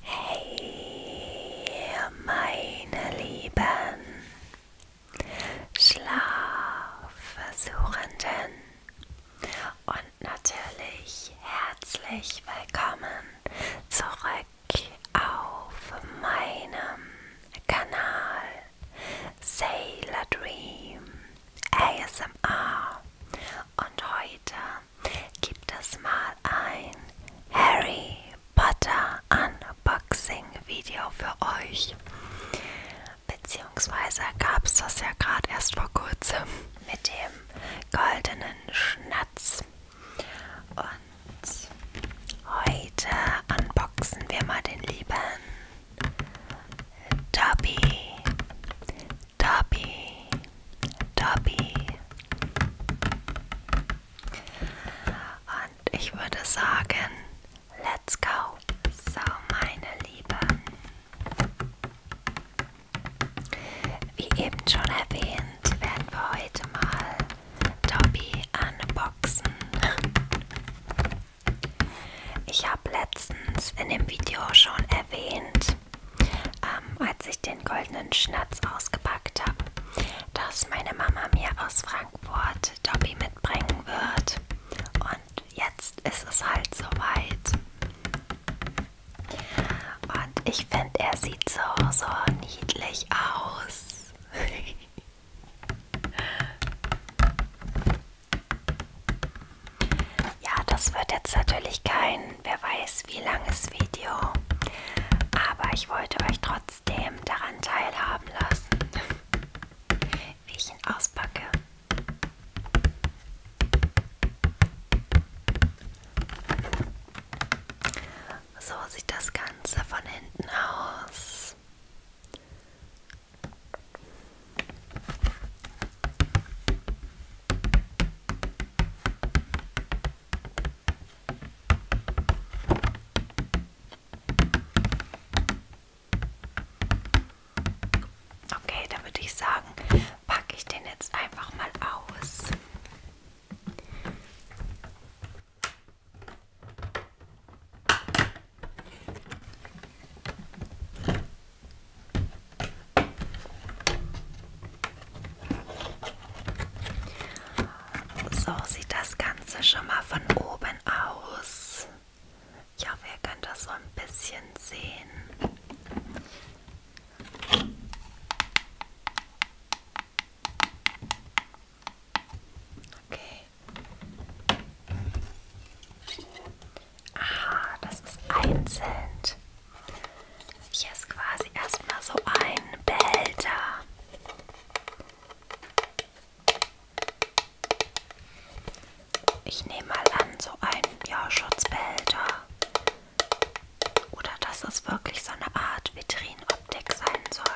Hey, meine Lieben, Schlafversuchenden und natürlich herzlich willkommen zurück auf meinem Kanal. Sailor Dream, ASMR und heute gibt es mal ein Harry Potter Unboxing Video für euch. Beziehungsweise gab es das ja gerade erst vor kurzem mit dem goldenen Schnatz. Und heute unboxen wir mal den lieben Dobby, Dobby, Dobby. Und ich würde sagen, let's go. So, meine Lieben. Wie eben schon erwähnt, werden wir heute mal Dobby unboxen. Ich habe letztens in dem Video schon erwähnt, ähm, als ich den goldenen Schnatz ausgepackt habe, dass meine Mama mir aus Frankfurt Dobby mitbringen wird. Und jetzt ist es halt soweit. Und ich finde, er sieht so, so niedlich aus. Ja, das wird jetzt natürlich kein, wer weiß, wie langes Video. Aber ich wollte euch trotzdem daran teilhaben lassen, wie ich ihn auspacke. So sieht das Ganze von hinten aus. Okay, dann würde ich sagen, packe ich den jetzt einfach mal aus. So sieht das Ganze schon mal von oben aus. Ich hoffe, ihr könnt das so ein bisschen sehen. Okay. Ah, das ist einzeln. Hier ist quasi erstmal so ein Behälter. Ich nehme mal an, so ein ja, Schutzbehälter. Oder dass es wirklich so eine Art Vitrinoptik sein soll.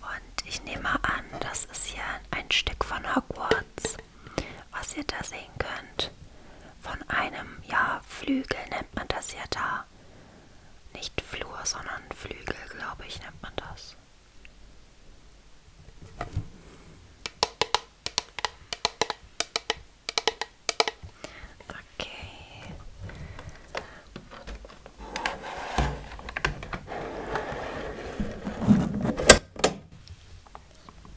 Und ich nehme an, das ist hier ein Stück von Hogwarts, was ihr da sehen könnt. Von einem, ja, Flügel nennt man das ja da. Nicht Flur, sondern Flügel, glaube ich, nennt man das. Okay.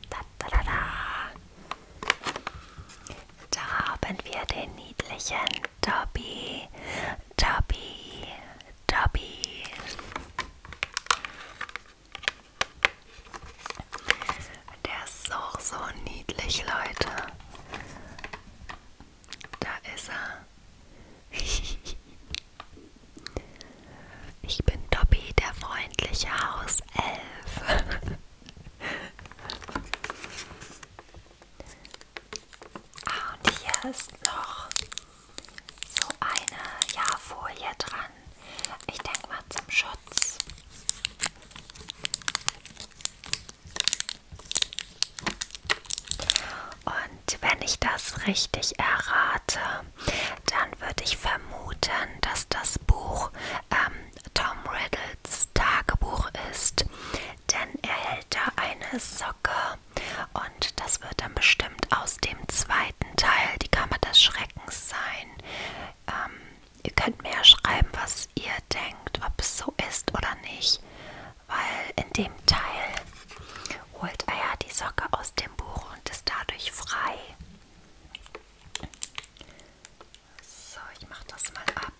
Da, da, da, da. da haben wir den niedlichen Dobby. Dobby. Dobby. Der ist auch so niedlich, Leute. Da ist er. Ich bin Dobby, der freundliche Hauself. Ah, und hier ist noch so eine Jahrfolie dran an. Ich denke mal zum Schutz. Und wenn ich das richtig errate, dann würde ich vermuten, dass das Buch ähm, Tom Riddles Tagebuch ist. Denn er hält da eine Socke und das wird dann bestimmt aus dem zweiten Teil, die Kammer des Schreckens sein. Ähm, Ihr könnt mir ja schreiben, was ihr denkt, ob es so ist oder nicht, weil in dem Teil holt er ja die Socke aus dem Buch und ist dadurch frei. So, ich mache das mal ab.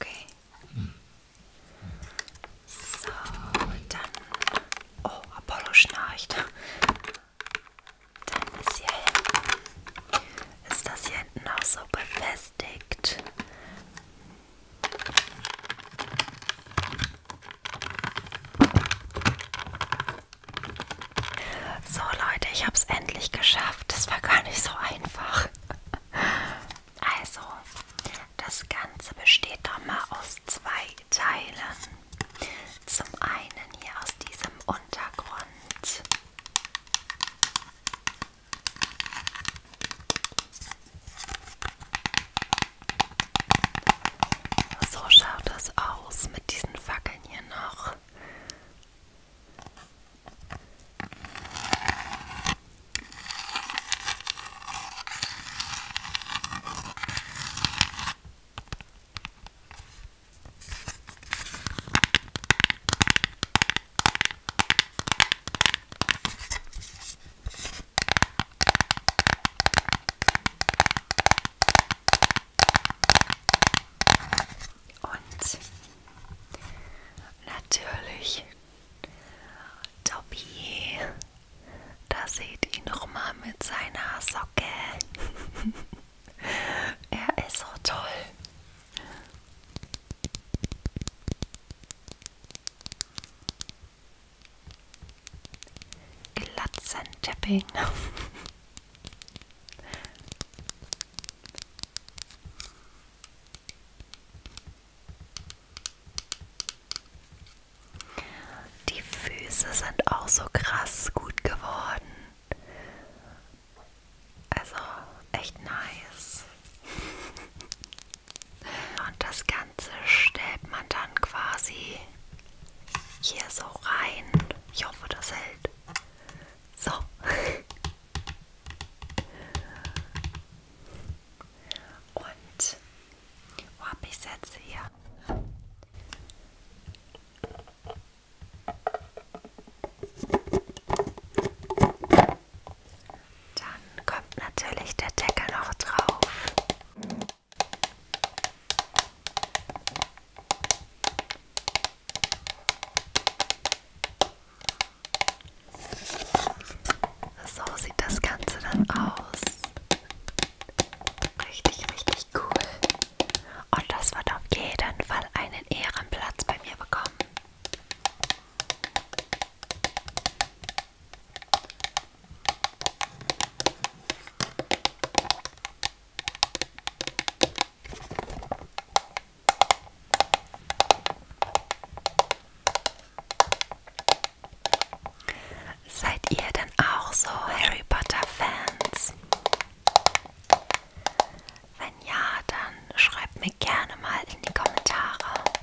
Okay. So, dann. Oh, Apollo schnarcht. Dann ist hier hinten. Ist das hier hinten auch so befestigt? So Leute, ich habe es endlich geschafft. Das war gar nicht so einfach. Also, das Ganze besteht doch mal aus zwei Teilen. Zum einen hier aus diesem Untergrund. So schaut das aus mit diesen Fackeln hier noch. Und natürlich Dobby. Da seht ihr nochmal mit seiner Socke. er ist so toll. Glatzentepping. Die Füße sind auch so krass gut geworden. Also echt nice. Und das Ganze stellt man dann quasi hier so rein. Ich hoffe, das hält. So. Und wo habe ich Sätze hier? Dann kommt natürlich der Deckel noch drauf. So sieht das Ganze dann aus. Richtig, richtig cool. Und das wird auf jeden Fall einen Ehrenplatz bei mir bekommen. Seid ihr denn auch so Harry Potter-Fans? Wenn ja, dann schreibt mir gerne mal in die Kommentare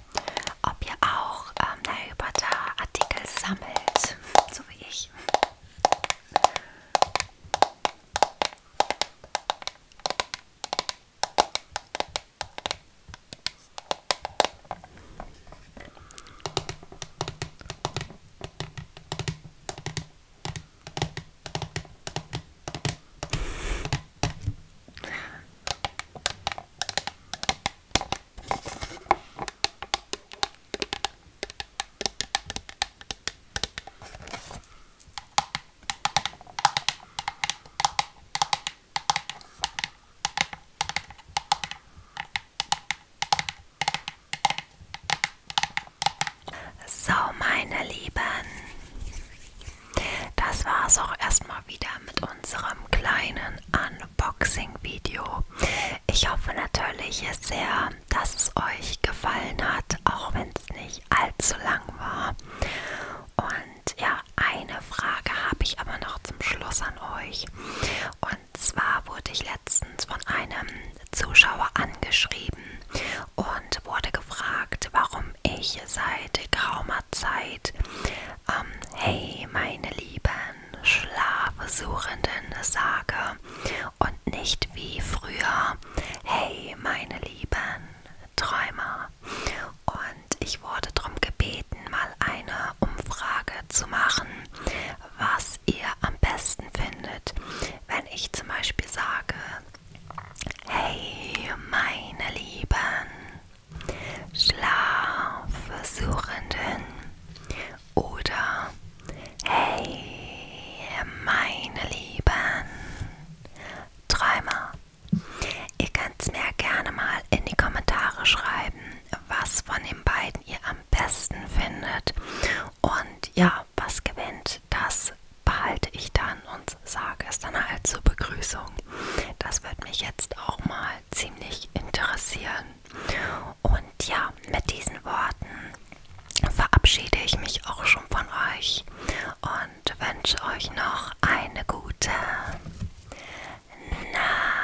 ob ihr auch ähm, Harry Potter Artikel sammelt, so wie ich. So, meine Lieben, das war es auch erstmal wieder mit unserem kleinen Unboxing. Unboxing-Video. Ich hoffe natürlich sehr, dass es euch gefallen hat, auch wenn es nicht allzu lang war. Und ja, eine Frage habe ich aber noch zum Schluss an euch. Und zwar wurde ich letztens von einem Zuschauer angeschrieben und wurde gefragt, warum ich seit geraumer Zeit ähm, hey, meine lieben Schlafsuchenden sage und nicht wie früher, hey, meine lieben Träumer. Und ich wurde darum gebeten, mal eine Umfrage zu machen, was ihr am besten findet, wenn ich zum Beispiel sage, hey, meine lieben Schlafsuchenden oder Hey, meine Lieben Träumer. Ihr könnt mir gerne mal in die Kommentare schreiben, was von den beiden ihr am besten findet. Und ja, was gewinnt, das behalte ich dann und sage es dann halt zur Begrüßung. Das wird mich jetzt auch mal ziemlich mich interessieren. Und ja, mit diesen Worten verabschiede ich mich auch schon von euch und wünsche euch noch eine gute Nacht.